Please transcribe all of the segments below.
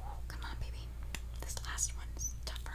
Oh, come on, baby. This last one's tougher.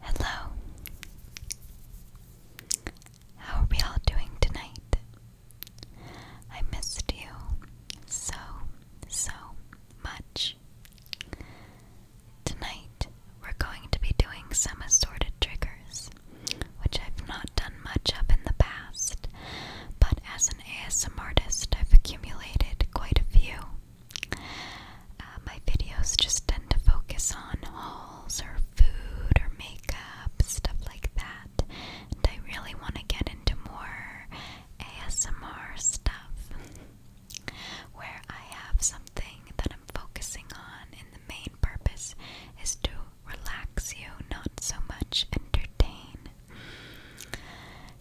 Hello. How are we all doing tonight? I missed you so, so much. Tonight, we're going to be doing some assorted triggers, which I've not done much up in the past, but as an ASM artist, I've accumulated quite a few. Uh, my videos just tend to focus on hauls or food or makeup, stuff like that. And I really want to get into more ASMR stuff where I have something that I'm focusing on, and the main purpose is to relax you, not so much entertain.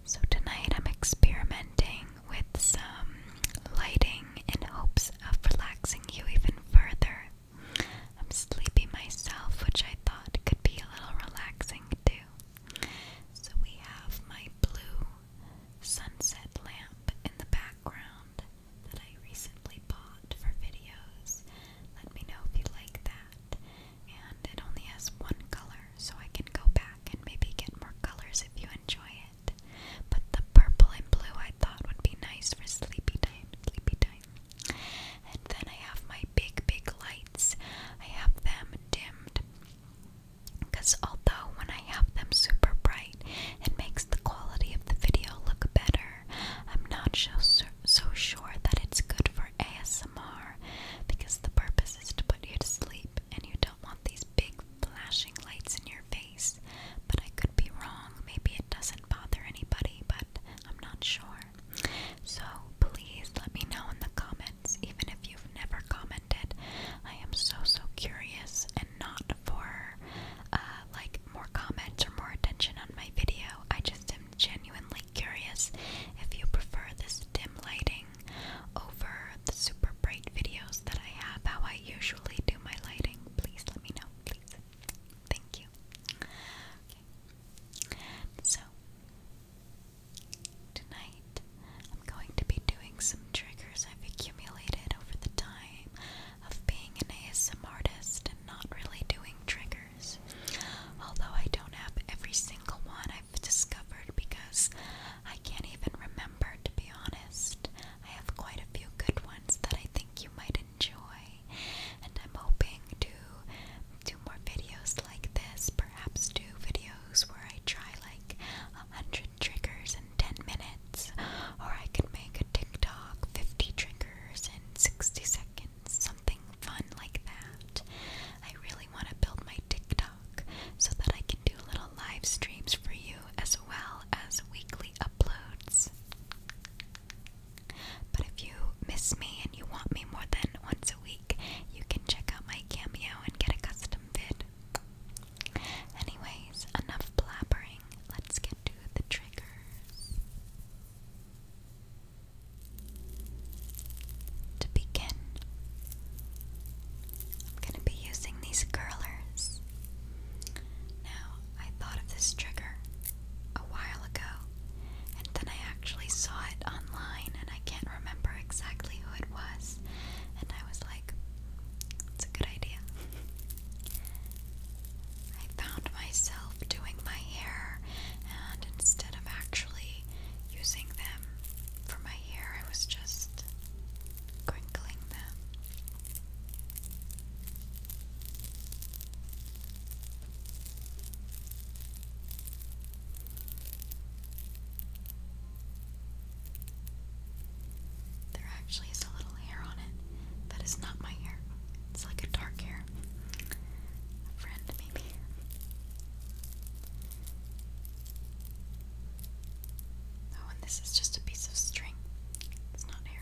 So, tonight I'm experimenting with some lighting in hopes of relaxing you even further. I'm sleepy myself, which I thought could be a little relaxing too. So, we have my blue sunset lamp in the background that I recently bought for videos. Let me know if you like that. And it only has one color, so I can go back and maybe get more colors if you enjoy it. But the purple and blue I thought would be nice for sleepy time, sleepy time. And then I have my big, big lights. I have them dimmed. Because although when I have them super bright, it makes the quality of the video look better. I'm not so, so sure that it's good for ASMR because the purpose is to put you to sleep and you don't want these big flashing lights in your face, but I could be wrong. Maybe it doesn't bother anybody, but I'm not sure. So please let me know in the comments, even if you've never commented. I am so, so curious and not for uh, like more comments or more attention on my video. I just am genuinely curious if you prefer this dim lighting over the super bright videos that I have, how I usually do my lighting, please let me know, please. Thank you. Okay. So, tonight I'm going to be doing some triggers I've accumulated over the time of being an ASM artist and not really doing triggers. Although I don't have every single one I've discovered because I can't even remember, to be honest. I have quite a few good ones that I think you might enjoy, and I'm hoping to do more videos like this. Perhaps do videos where I try like a hundred triggers in ten minutes, or I could make a TikTok fifty triggers in sixty seconds. Something fun like that. I really want to build my TikTok so that I can do little live streams for you as well as weekly uploads. But if you miss me and you want me more than once a week, you can check out my cameo and get a custom vid. Anyways, enough blabbering. Let's get to the triggers. To begin, I'm going to be using these curlers. Now, I thought of this trigger a while ago, and then I actually saw it online, and I can't remember exactly who it was, and I was like, it's a good idea. I found myself doing my hair, and instead of actually using them for my hair, I was just crinkling them. There actually is a little hair on it that is not my hair. It's like a dark hair. A friend, maybe. Oh, and this is just a piece of string. It's not hair.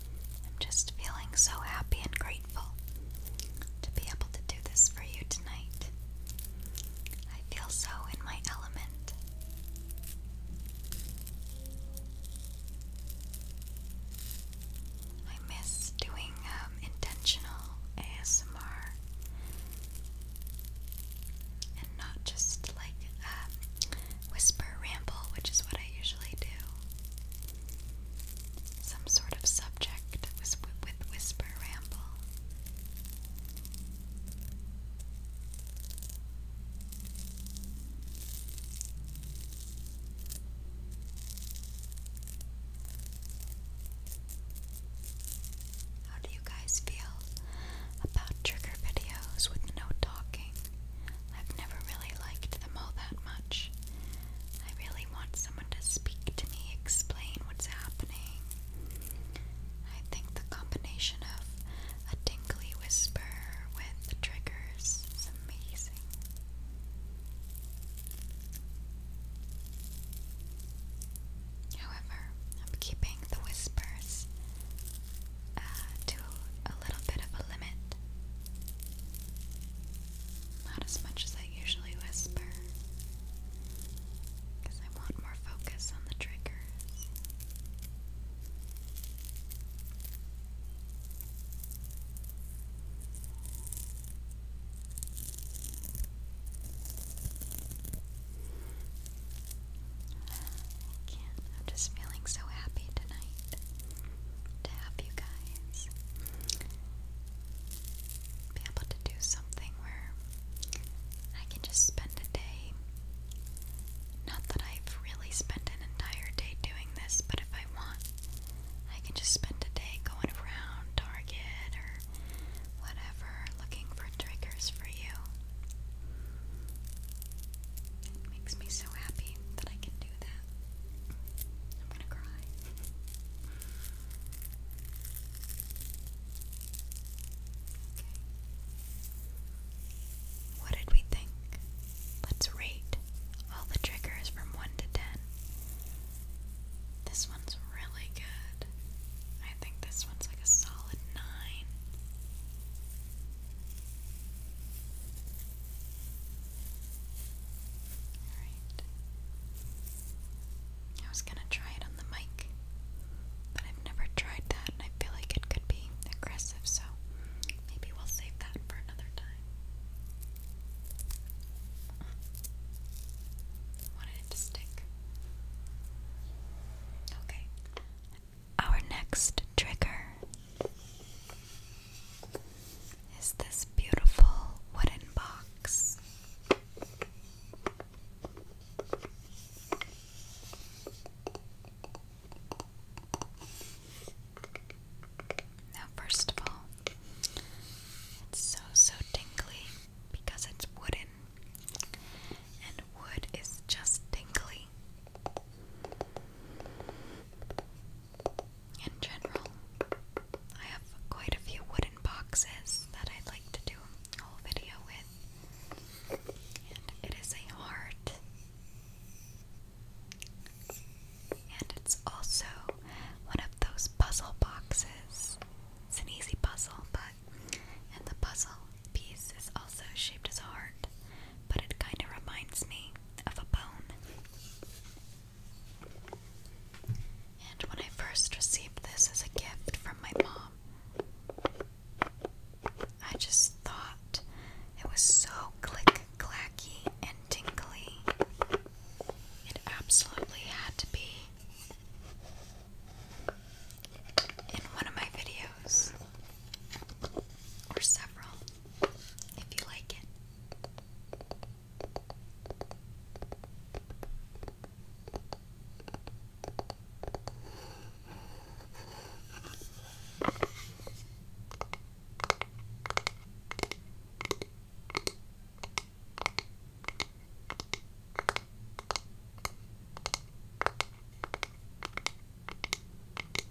I'm just feeling so happy and grateful to be able to do this for you tonight. I feel so in my element. I miss doing um, intentional ASMR and not just like um, whisper ramble, which is what I usually do. Some sort of subject with, whisper ramble. How do you guys feel about trigger videos with no talking? I've never really liked them all that much. I really want someone to speak to me, explain what's happening. I think the combination of a tingly whisper with triggers is amazing. However, I'm keeping the whispers uh, to a little bit of a limit. Not as much as I usually whisper, because I want more focus on the triggers. I can't. I'm just feeling so happy tonight to have you guys be able to do something where I can just spend a day. Not that I've really spent an entire day doing this, but if I want, I can just spend a day going around Target or whatever looking for triggers for you. It makes me so happy that I can do that. I'm gonna cry. Okay. What did we think? Let's rate all the triggers from 1 to 10. This one's really good. I think this one's like a solid 9. I was gonna try it on the mic, but I've never tried that, and I feel like it could be aggressive, so maybe we'll save that for another time. Wanted it to stick. Okay. Our next trigger is this beautiful wooden box. Now, first of all, it's so so tingly because it's wooden, and wood is just tingly in general. I have quite a few wooden boxes that i like to do a whole video with. And it is a heart. And it's also one of those puzzle boxes. It's an easy puzzle, but and the puzzle piece is also shaped as a heart, but it kind of reminds me of a bone. And when I first received this as a gift from my mom, I just thought it was so click clacky and tinkly, It absolutely had to be in one of my videos, or several if you like it.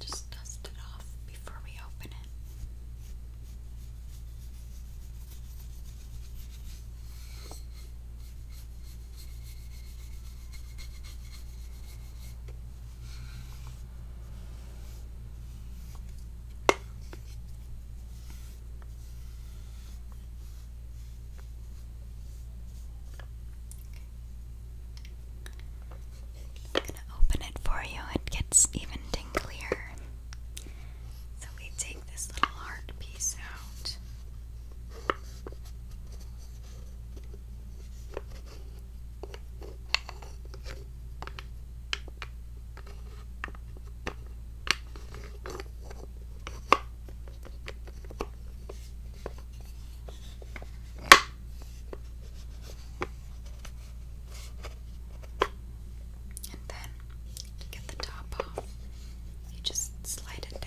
Just dust it off before we open it. I'm gonna open it for you. It gets even tinglier. So we take this little heart piece out. And then you get the top off, you just slide it down.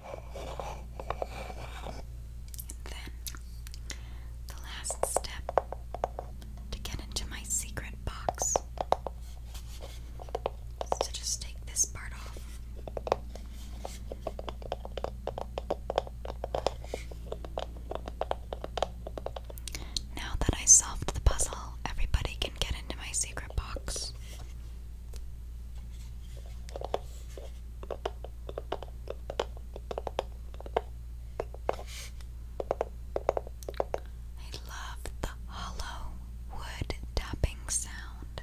And then the last step to get into my secret box is just take this part off. Now that I solved the puzzle, everybody can get into my secret box. I love the hollow wood tapping sound.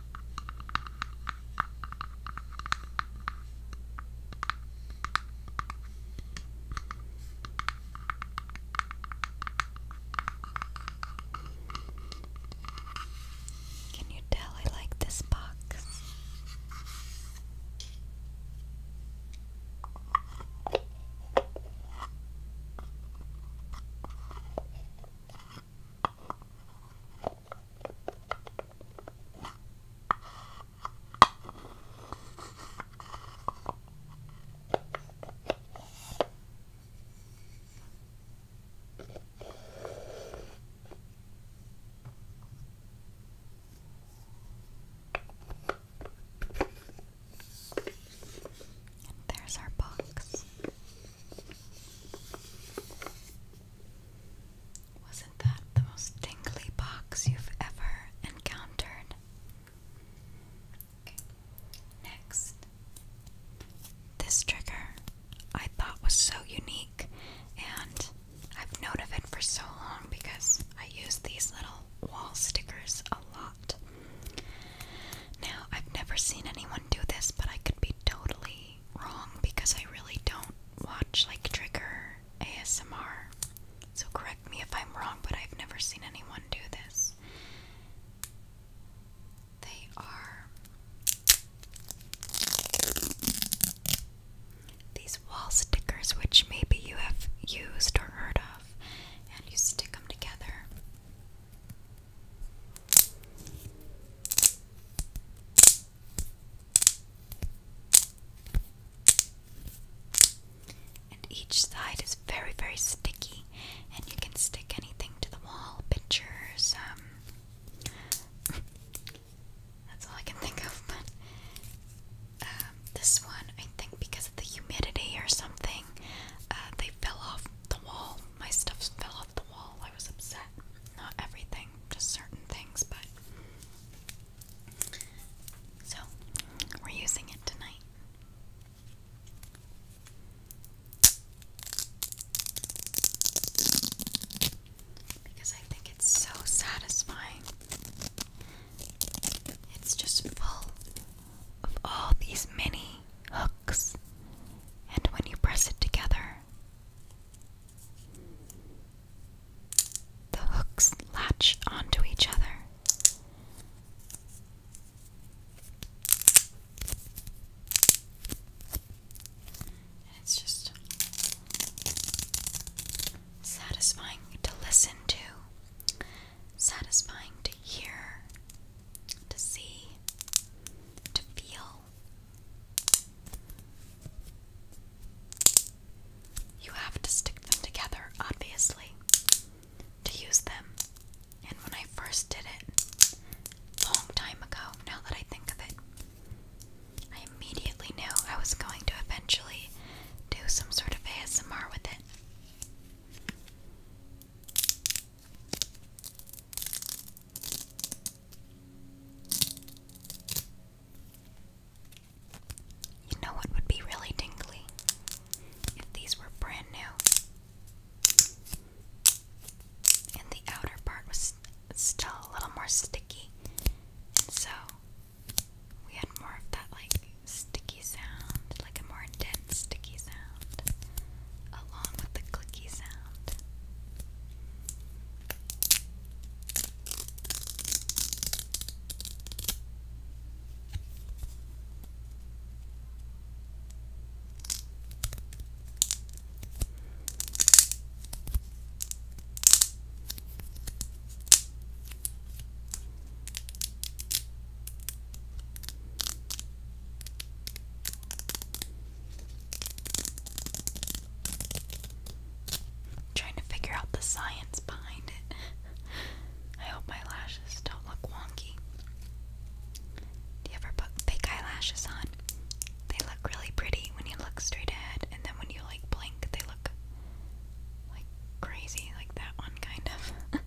Can you tell I like this box? there's our box. Wasn't that the most tingly box you've ever encountered? Next. This trigger I thought was so unique, and I've known of it for so long because I use these little wall stickers a lot. Now, I've never seen anyone do this, but I could be totally wrong because I really don't watch like trigger ASMR. So correct me if I'm wrong, but I've never seen anyone do this. They are these wall stickers, which maybe you have used or heard of, and you stick them together. And each side is very, very sticky, and you can stick anything to the wall pictures. Um, that's all I can think of, but um, this one, I think because of the humidity or something, uh, they fell off the wall. My stuff fell off wall. I was upset. Not everything, just certain things, but. So, we're using it tonight. Because I think it's so satisfying. It's just full of all these mini hooks, and when you press it together, the hooks latch onto each other. And it's just satisfying to listen to, satisfying to hear, to see, to feel. You have to stick them together, obviously, to use them. And when I first did it, long time ago, now that I think of it, I immediately knew I was going to eventually do some sort of ASMR with it. You know what would be really tingly? If these were brand new. And the outer part was still a little more sticky. so we had more of that like sticky sound, like a more intense sticky sound along with the clicky sound i trying to figure out the science behind it. I hope my lashes don't look wonky. Do you ever put fake eyelashes on? They look really pretty when you look straight ahead, and then when you like blink, they look like crazy, like that one kind of.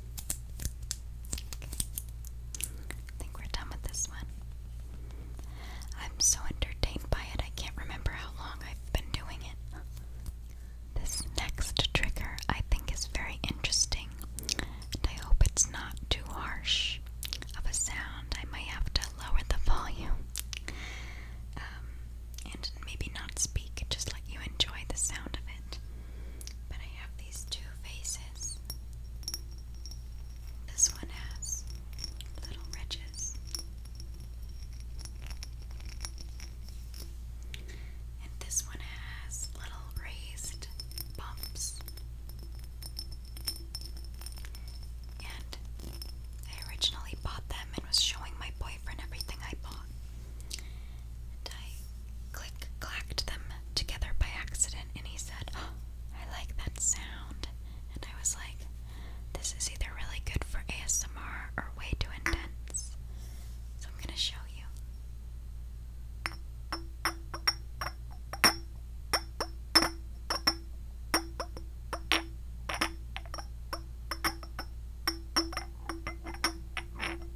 I think we're done with this one. I'm so entertained by it, I can't remember how long I've been doing it. This next trigger I think is very interesting, and I hope it's not too harsh of a sound. I might have to lower the volume um, and maybe not speak, just let you enjoy the sound of it. But I have these two faces. This one has little ridges. And this one has little raised bumps. And I originally bought them and was showing my boyfriend everything I bought. And I click clacked them together by accident, and he said, oh, I like that sound. And I was like, this is either really good for ASMR or way too intense. So I'm gonna show you.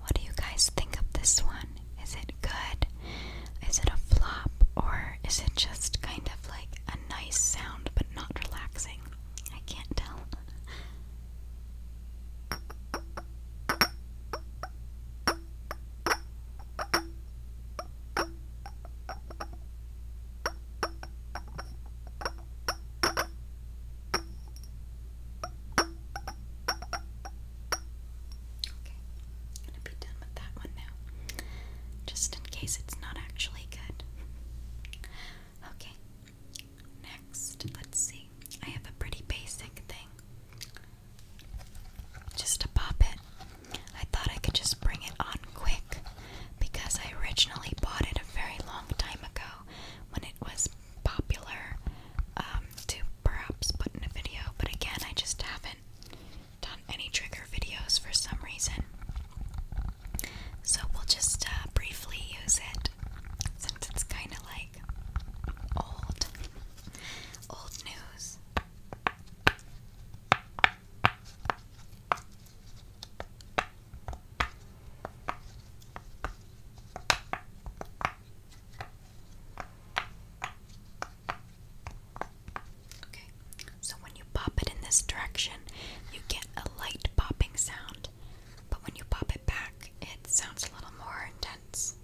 What do you guys think of this one? Is it good? Is it a flop or is it just kind of like a nice sound but not relaxing? I can't tell. Okay. I'm gonna be done with that one now. Just in case it's not actually good. Okay. Next, let's see. I have a pretty basic thing. Just to pop it. I thought I could just bring it on quick because I originally bought it a very long time ago when it was popular um, to perhaps put in a video, but again, I just haven't done any trigger videos for some reason. So we'll just uh, briefly use it since it's kind of like old, old news. Okay, so when you pop it in this direction, you get a light popping sound, but when you pop it back, it sounds a little more intense.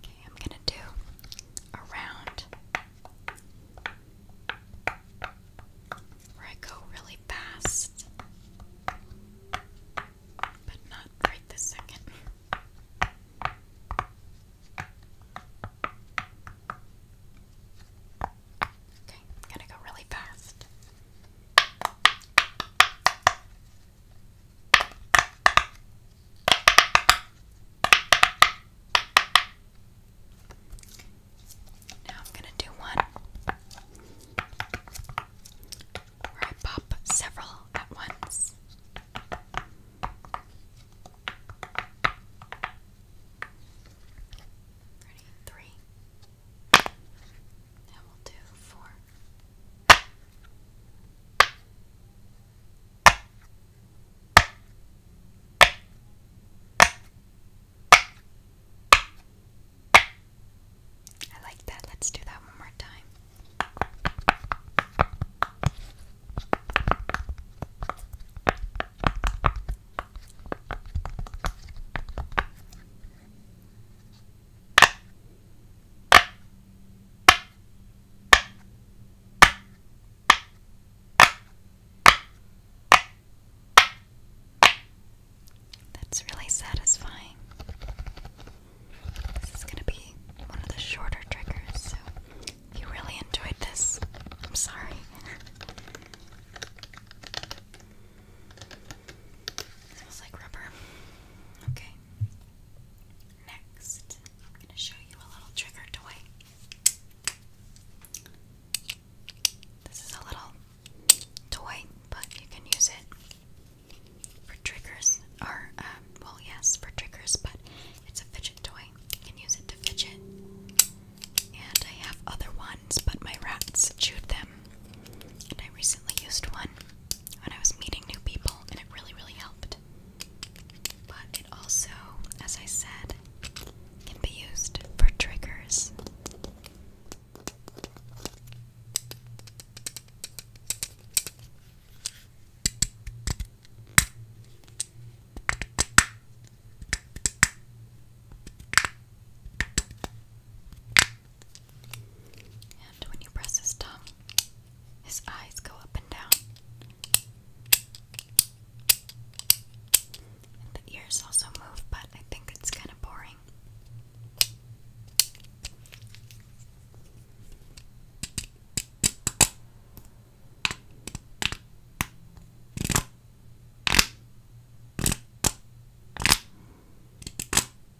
Okay, I'm gonna do a round where I go really fast, but not right this second. Okay, I'm gonna go really fast. Now I'm going to do one where I pop several at once. Ready? Three. Now we'll do four. I like that. Let's do that one more time. That's really satisfying. This is going to be one of the shorter triggers, so if you really enjoyed this, I'm sorry. Smells like rubber. Okay. Next, I'm going to show you a little trigger toy. This is a little toy, but you can use it for triggers, or, um, well, yes, for triggers, but it's a fidget toy. You can use it to fidget. And I have other ones, but my rats chewed them. And I recently used one when I was meeting new people, and it really, really helped. But it also, as I said, can be used for triggers. And when you press this down. His eyes go up and down. the ears also move, but I think it's kind of boring.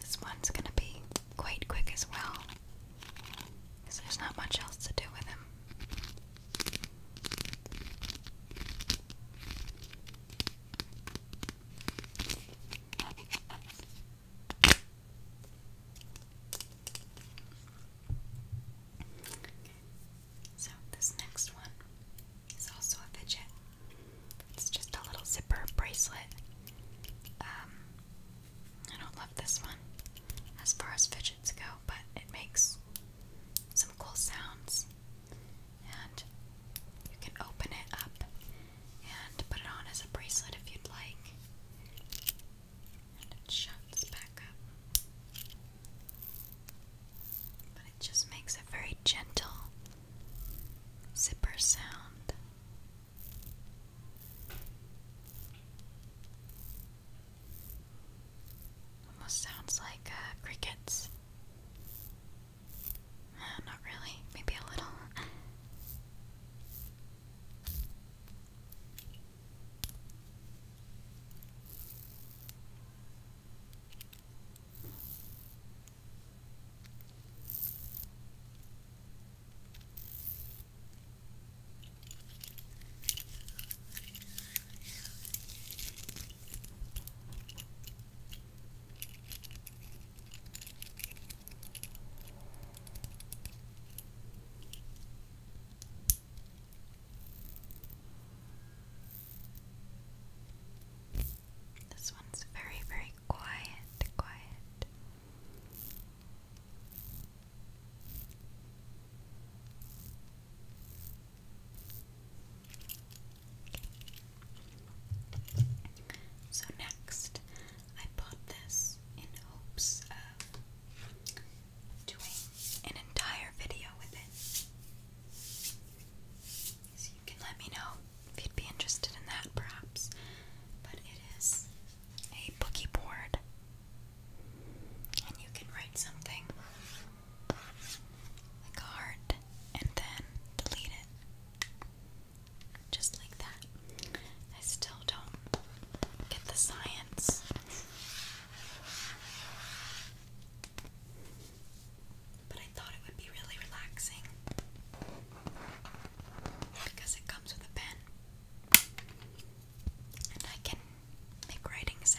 This one's gonna be quite quick as well, there's not much else to do with him. So, this next one is also a fidget. It's just a little zipper bracelet. Um, I don't love this one as far as fidgets go, but it makes some cool sounds. And you can open it up and put it on as a bracelet if you'd like. And it shuts back up. But it just makes a very gentle zipper sound. Almost sounds like uh, crickets. Uh, not really, maybe a little. This one's very, very quiet, quiet. So next, I bought this in hopes of doing an entire video with it. So you can let me know if you'd be interested in that perhaps. But it is a boogie board and you can write something like a heart and then delete it. Just like that. I still don't get the science. But I thought it would be really relaxing because it comes with a pen. And I can make writing sounds.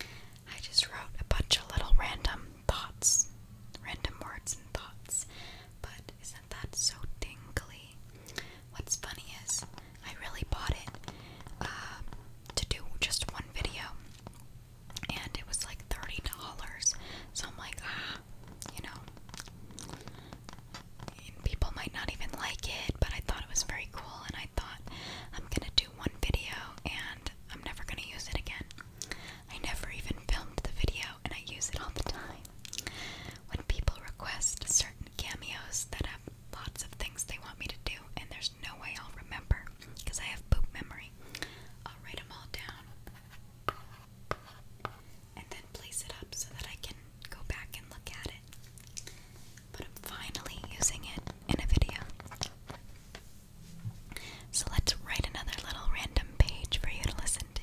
I just wrote a bunch of little random thoughts, random words and thoughts, but isn't that so tingly? What's funny is I really bought it um, to do just one video, and it was like $30, so I'm like, ah, you know, and people might not even like it, but I thought it was very cool, and I thought I'm gonna do one video and I'm never gonna use it again. I never even filmed the video, and I use it all the time. When people request certain cameos that have lots of things they want me to do, and there's no way I'll remember because I have poop memory, I'll write them all down and then place it up so that I can go back and look at it. But I'm finally using it in a video. So let's write another little random page for you to listen to.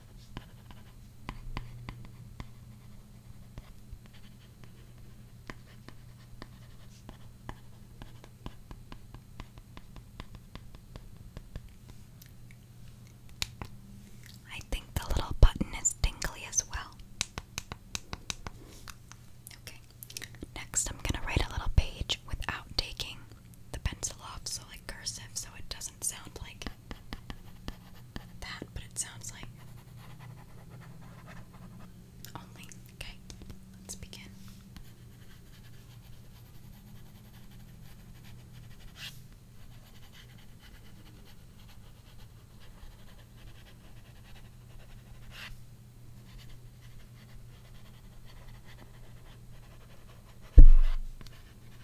I think the little button is tingly as well. Okay, next I'm going to write a little page without taking the pencil off, so like cursive, so it doesn't sound like that, but it sounds like only. Okay, let's begin.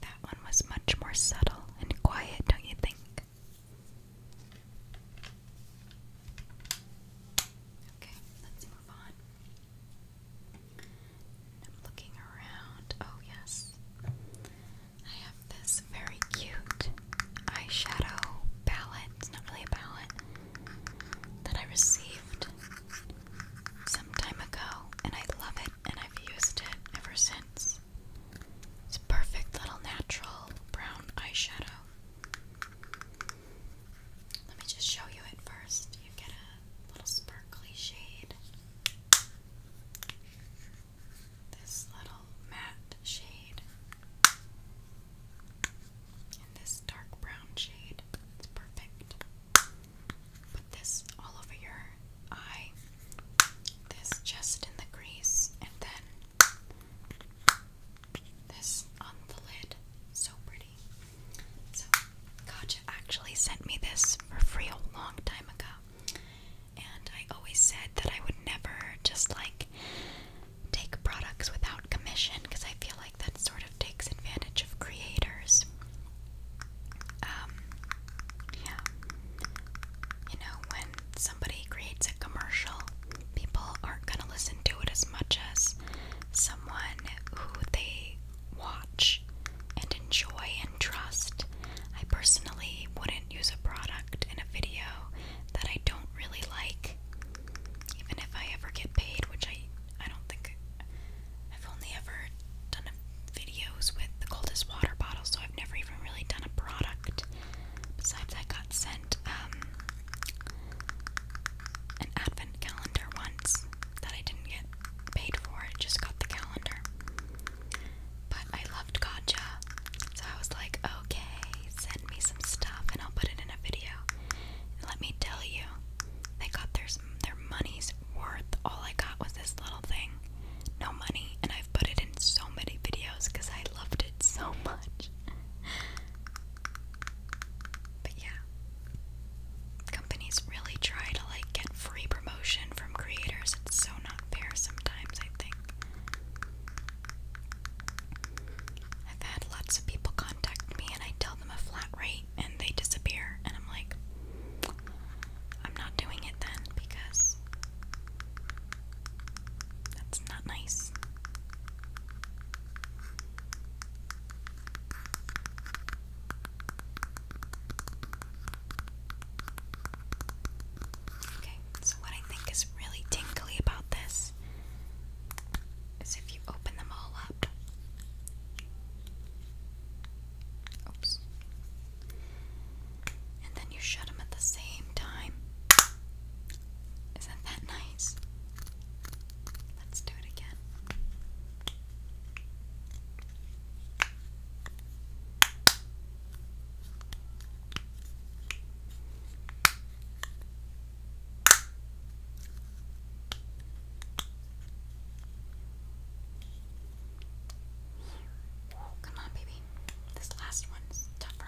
That one was much more subtle and quiet, don't you think? Okay, let's move on. I'm looking around. Oh, yes. I have this very cute eyeshadow palette. not really palette, that I received some time ago, and I love it, and I've used it ever since. It's a perfect little natural brown eyeshadow. Let me just show you it first. You get a little sparkly shade. This little matte shade this dark brown shade. It's perfect. Put this all over your eye. This just in the crease, and then this on the lid. So pretty. So, Katja actually sent me this for free a long time ago. And I always said that I would never just like take products without commission because I feel like that sort of takes advantage of creators. Um, yeah. You know, when somebody creates a commercial, people aren't going to listen to it as much as someone who they watch and enjoy and trust. I personally wouldn't use a product in a video that I don't really like even if I ever get paid, which I I don't think I've only ever done videos with the coldest water bottle, so I've never even really done a product. Besides, I got sent um, an advent calendar once that I didn't get paid for. I just got the calendar. But I loved Gotcha, so I was like, okay, send me some stuff and I'll put it in a video. And let me tell you, they got their their money's worth. All I got was this little thing, no money, and I've put it in so many videos because I loved it so much. but yeah, companies really try to like get free promotion from creators. It's so not fair sometimes. I think I've had lots of people contact me, and I tell them a flat rate and they disappear and I'm like I'm not doing it then because that's not nice. Okay, so what I think is really tingly about this is if you open them all up. Oops. And then you shut them at the same time. Isn't that nice? Let's do it again. Oh, come on, baby. This last one's tougher.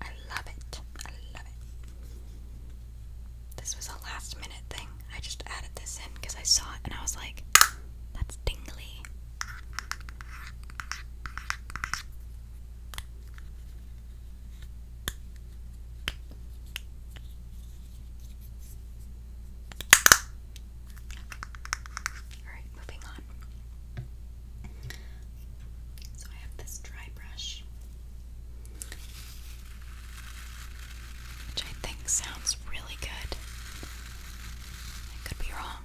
I love it. I love it. This was a last minute thing. I just added this in because I saw it and I was like, that's tingly. Alright, moving on. So I have this dry brush, which I think sounds really good. I could be wrong.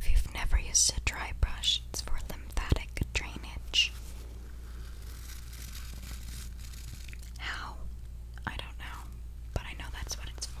If you've never used a dry brush, it's for lymphatic drainage. How? I don't know, but I know that's what it's for.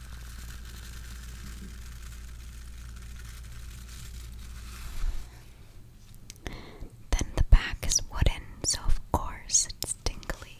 Then the back is wooden, so of course it's tingly.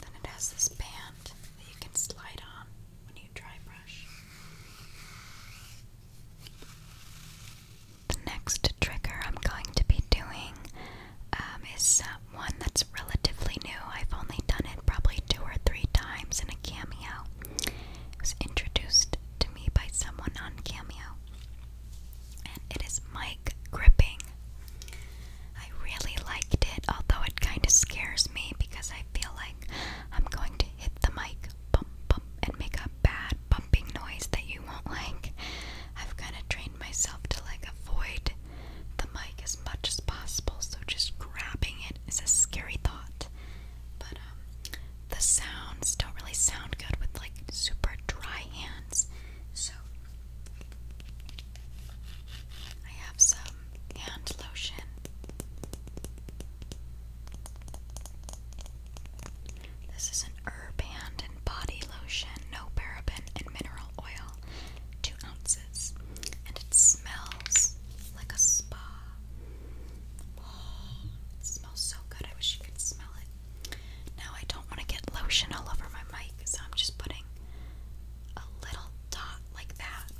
Then it has this band that you can slide on when you dry brush. The next trigger I'm going to be doing um, is uh, one that's relatively new. I've only done it probably two or three times in a cameo. It was introduced to me by someone on cameo, and it is mic gripping. I really liked it, although it kind of scares me because I feel like I'm going to hit the mic, bump, bump, and make a bad bumping noise that you won't like. I've kind of trained myself to like avoid the mic as much as possible, so just grabbing it is a scary thought. But um, the sounds don't really sound good with like super dry hands, so I have some hand lotion. This is an herb hand and body lotion, no paraben and mineral oil, two ounces, and it smells like a spa. Oh, it smells so good. I wish you could smell it. Now I don't want to get lotion all over my mic, so I'm just putting a little dot like that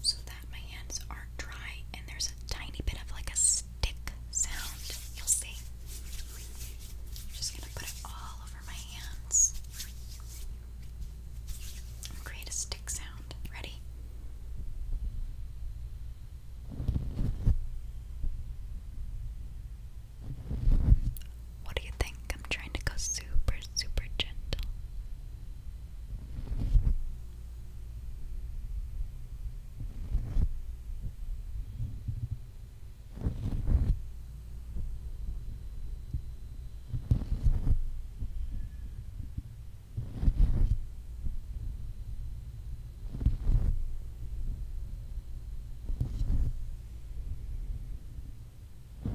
so that my hands aren't dry and there's a tiny bit of like a stick sound. You'll see. I'm just gonna put it all over my hands. create a stick sound. Ready? What do you think? I'm trying to go super, super gentle. Do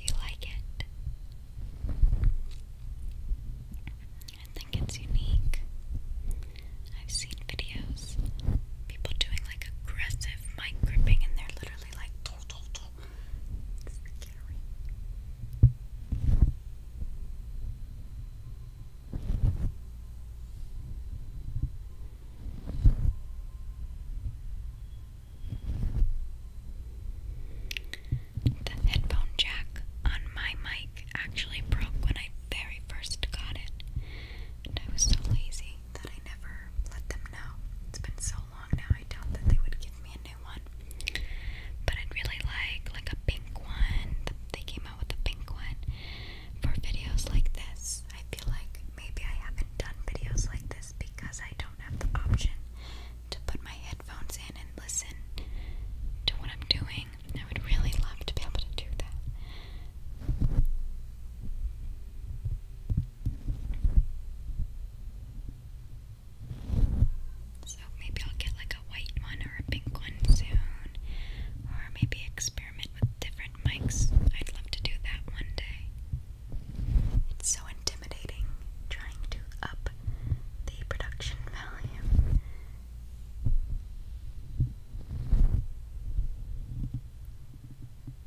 you like it? I think it's unique. I've seen videos people doing like aggressive mic gripping and they're literally like tow, The headphone jack on my mic actually broke when I very first got it, and I was so lazy that I never let them know. It's been so long now, I doubt that they would give me a new one. But I'd really like like a pink one. they came out with a pink one for videos like this. I feel like maybe I haven't done videos like this because I don't have the option to put my headphones in and listen to what I'm doing. I would really love to be able to do that. So maybe I'll get like a white one or a pink one soon. Or maybe experiment with different mics. I'd love to do that one day. It's so intimidating trying to up the production value.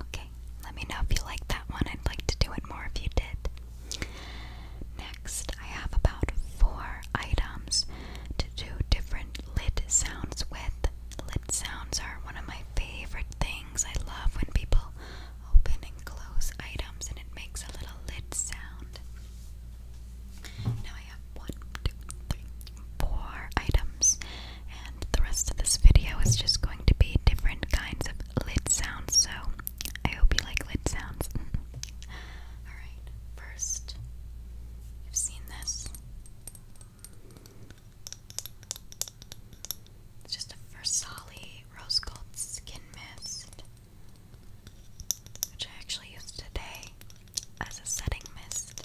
Okay, let me know if you like that one. I'd like to do it more if you did. Next, I have about four items to do different lid sounds with. Lid sounds are one of my favorite things. I love when people open and close items and it makes a little lid sound. Now I have one, two, three, four items and the rest of this video is just going to be different kinds of lid sounds, so I hope you like lid sounds. Alright, first, you've seen this. It's just a Versali Rose Gold Skin Mist, which I actually use today as a setting mist.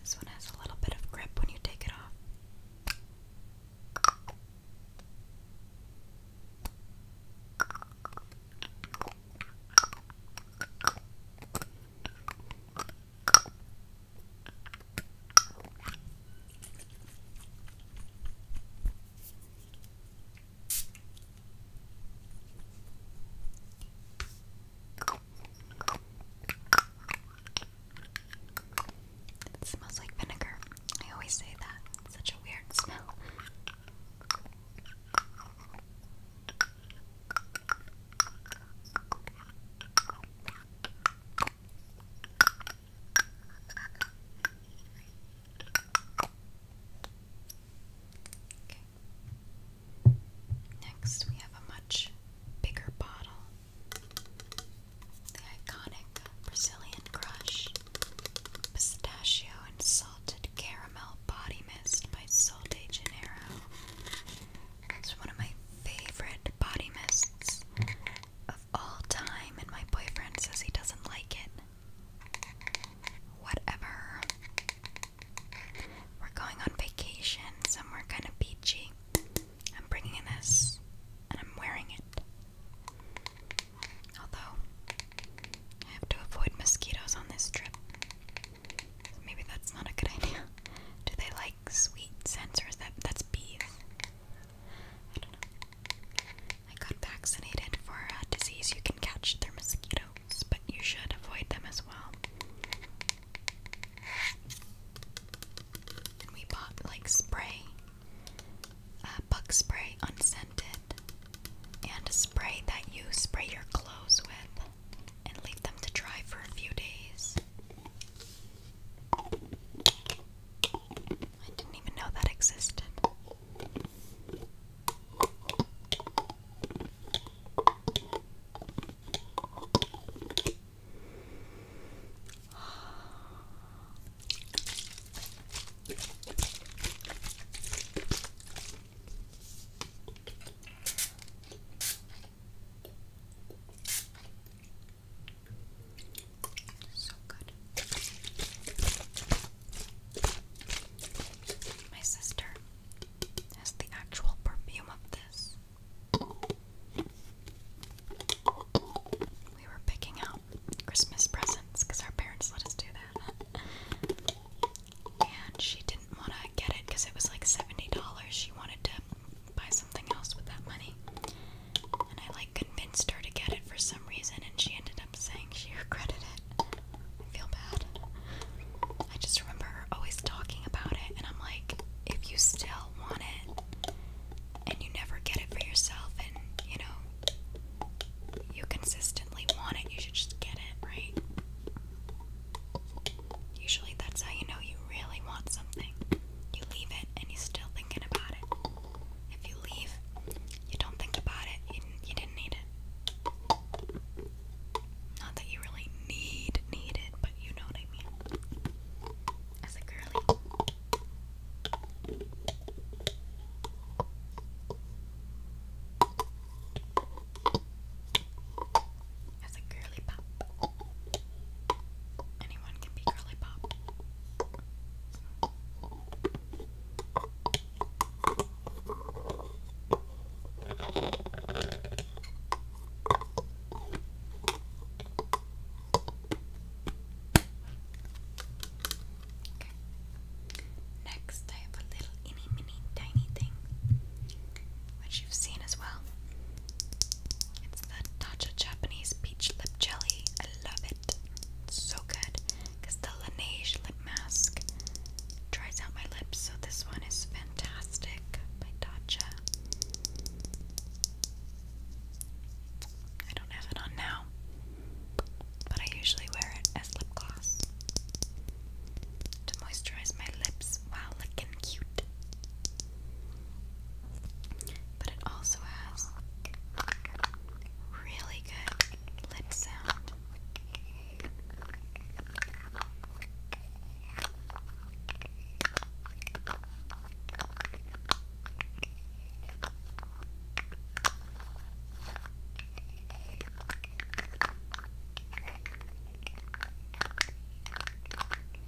This one has a little bit of grip when you take it off. It smells like vinegar. I always say that. It's such a weird smell. Okay. Next, we have a much bigger bottle. The iconic Brazilian Crush Pistachio and Salted Caramel Body Mist by Sol de Janeiro. It's one of my favorite body mists of all time, and my boyfriend says he doesn't like it. Whatever. We're going on vacation somewhere kind of beachy. I'm bringing this, and I'm wearing it. Although, I have to avoid mosquitoes on this trip. maybe that's not a good idea. Do they sweet sensors that that's bees? I don't know. got vaccinated for a disease you can catch through mosquitoes, but you should avoid them as well. we bought like spray, uh, bug spray unscented, and a spray that you spray your clothes with and leave them to dry for a few days. I didn't even know that existed. So good. My sister has the actual perfume of this. We were picking out Christmas presents because our parents let us do that. And she didn't want to get it because it was like $70. She wanted to buy something else with that money. And I like convinced her to get it for some reason, and she ended up saying she regretted it. I feel bad. I just remember her always talking about it, and I'm like, if you still want it and you never get it for yourself, and you know, you consistently want it, you should just get it, right? Usually that's how you know you really want something you leave it and you're still thinking about it. If you leave, you don't think about it, you, you didn't need it. Not that you really need, need it, but you know what I mean. As a girly is a girly pop. Anyone can be girly pop. Okay. Next, I have a little, itty, mini, tiny thing, which you've seen as well. It's the Dacha Japanese Peach Lip Jelly. I love it. It's so good. Because the Laneige lip mask dries out my lips. So this one is fantastic by Tatcha. I don't have it on now. But I usually wear it as lip gloss. To moisturize my lips while looking cute but it also has really good lip sound.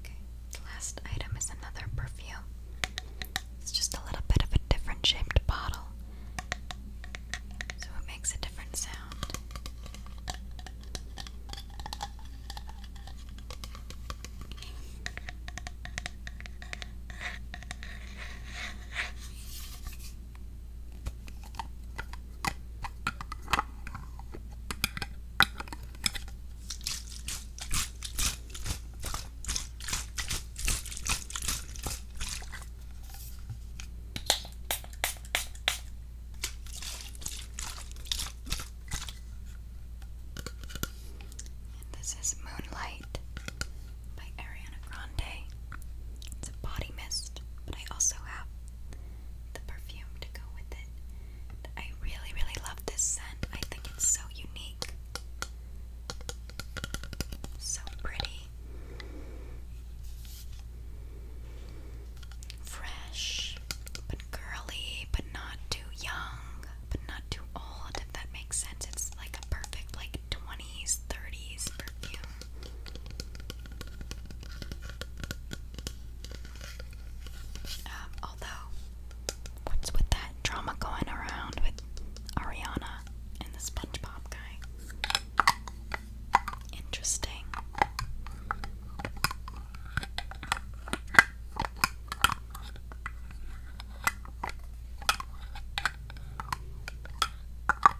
Okay, the last item is another perfume. It's just a little bit of a different shaped bottle, so it makes a different sound. And this is Moonlight by Ariana Grande. It's a body mist, but I also have the perfume to go with it. I really, really love this scent. I think it's so unique. So pretty. Fresh, but girly, but not too young, but not too old, if that makes sense. It's like a perfect, like, 20s, 30s perfume. Um, although, what's with that drama going around with Ariana and the SpongeBob guy? Interesting.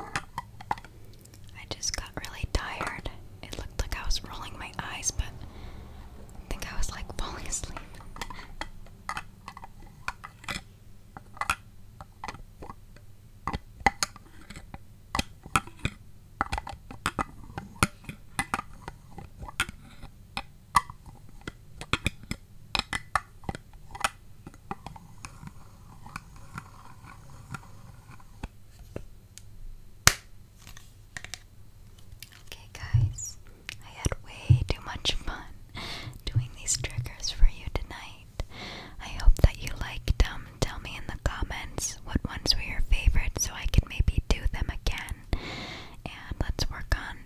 I just got really tired. It looked like I was rolling my eyes, but I think I was like falling asleep. Okay, guys, I had way too much fun doing these triggers for you tonight. I hope that you liked them. Tell me in the comments what ones were your favorites so I can maybe do them again. And let's work on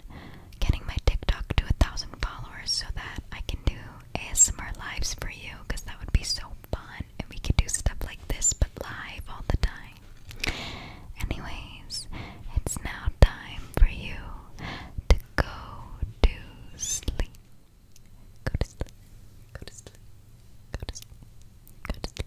getting my TikTok to a thousand followers so that I can do ASMR lives for you because that would be so fun and we could do stuff like this but live all the time. Anyways, it's now time for you to go to sleep. Go to sleep. Go to sleep. Go to sleep. Go to sleep